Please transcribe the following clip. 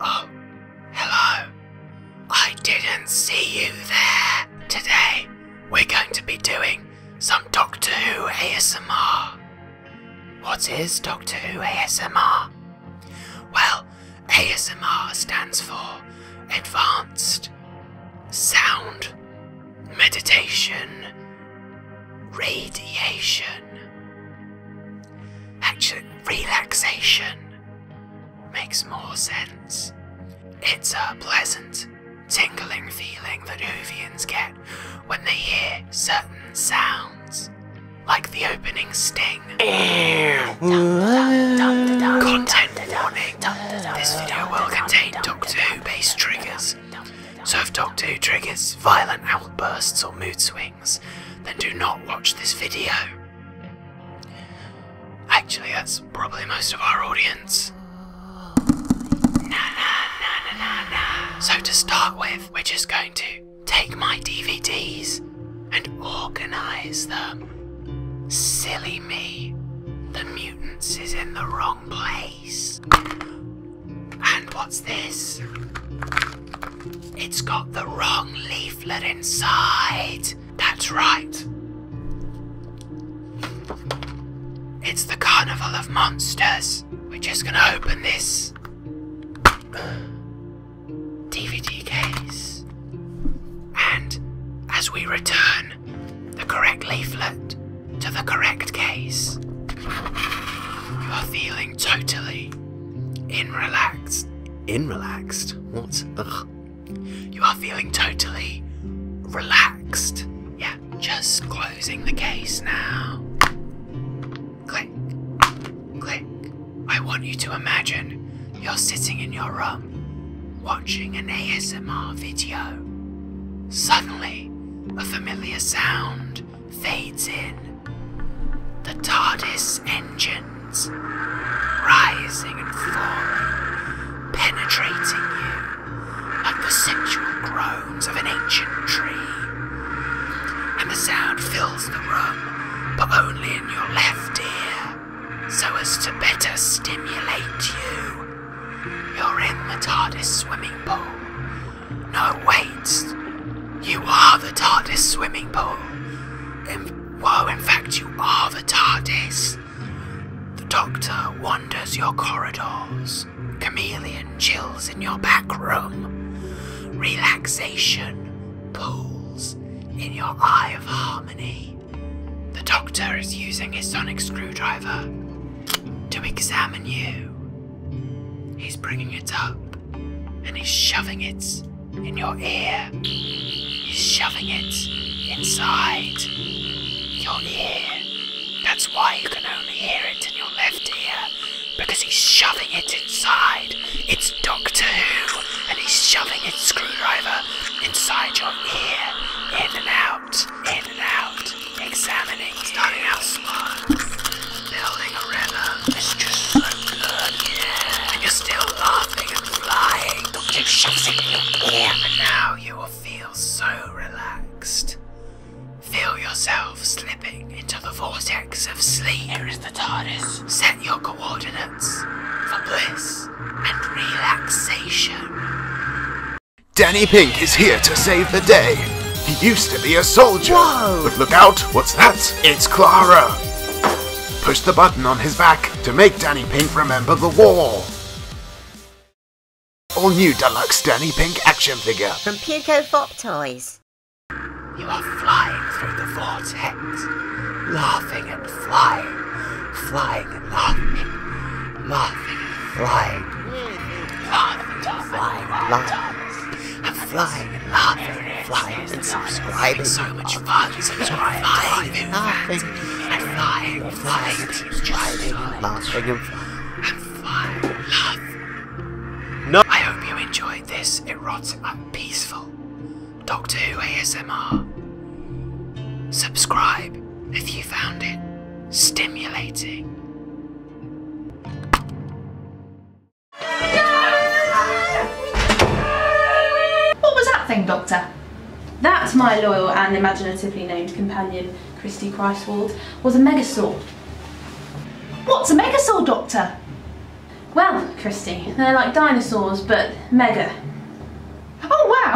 Oh, hello. I didn't see you there. Today, we're going to be doing some Doctor Who ASMR. What is Doctor Who ASMR? Well, ASMR stands for Advanced Sound Meditation Radiation. Actually, relaxation makes more sense. It's a pleasant, tingling feeling that Hoovians get when they hear certain sounds, like the opening sting. Content warning. This video will contain Doctor Who-based triggers so if Dog 2 triggers violent outbursts or mood swings, then do not watch this video. Actually, that's probably most of our audience. So to start with, we're just going to take my DVDs and organise them. Silly me. The mutants is in the wrong place. And what's this? It's got the wrong leaflet inside. That's right. It's the Carnival of Monsters. We're just gonna open this DVD case. And as we return the correct leaflet, to the correct case. You are feeling totally in relaxed. In relaxed? What? Ugh. You are feeling totally relaxed. Yeah, just closing the case now. Click. Click. I want you to imagine you're sitting in your room watching an ASMR video. Suddenly, a familiar sound fades in. The TARDIS engines, rising and falling, penetrating you like the sensual groans of an ancient tree. And the sound fills the room, but only in your left ear, so as to better stimulate you. You're in the TARDIS swimming pool. No, weights. You are the TARDIS swimming pool. In, whoa, in fact, you are the TARDIS. The Doctor wanders your corridors. Chameleon chills in your back room. Relaxation pools in your eye of harmony. The Doctor is using his sonic screwdriver to examine you. He's bringing it up and he's shoving it in your ear. He's shoving it inside your ear. That's why you can only hear it in your left ear because he's shoving it inside. It's Doctor Who and he's shoving his screwdriver inside your ear, in and out in and out, examining starting out slow, building a rhythm. It's just so good. Yeah. you're still laughing and flying. Don't keep shouting in your ear. And now you will feel so relaxed. Feel yourself slipping into the vortex of sleep. Here is the TARDIS. Set your coordinates for bliss and relaxation. Danny Pink is here to save the day. He used to be a soldier. But look out, what's that? It's Clara. Push the button on his back to make Danny Pink remember the war. All new deluxe Danny Pink action figure. From Puko Fop Toys. You are flying through the vortex, laughing and flying, flying laughing, laughing, flying, laughing, flying, laughing, and flying, and laughing, and flying, and subscribing. So much fun, subscribing, flying, laughing, and flying, and flying, and subscribing, and laughing, and flying, and flying, No. I hope you enjoyed this erotic and peaceful Doctor Who ASMR. Subscribe if you found it stimulating. What was that thing, Doctor? That's my loyal and imaginatively named companion, Christy Christwald, was a megasaur. What's a megasaur, Doctor? Well, Christy, they're like dinosaurs, but mega. Oh, wow!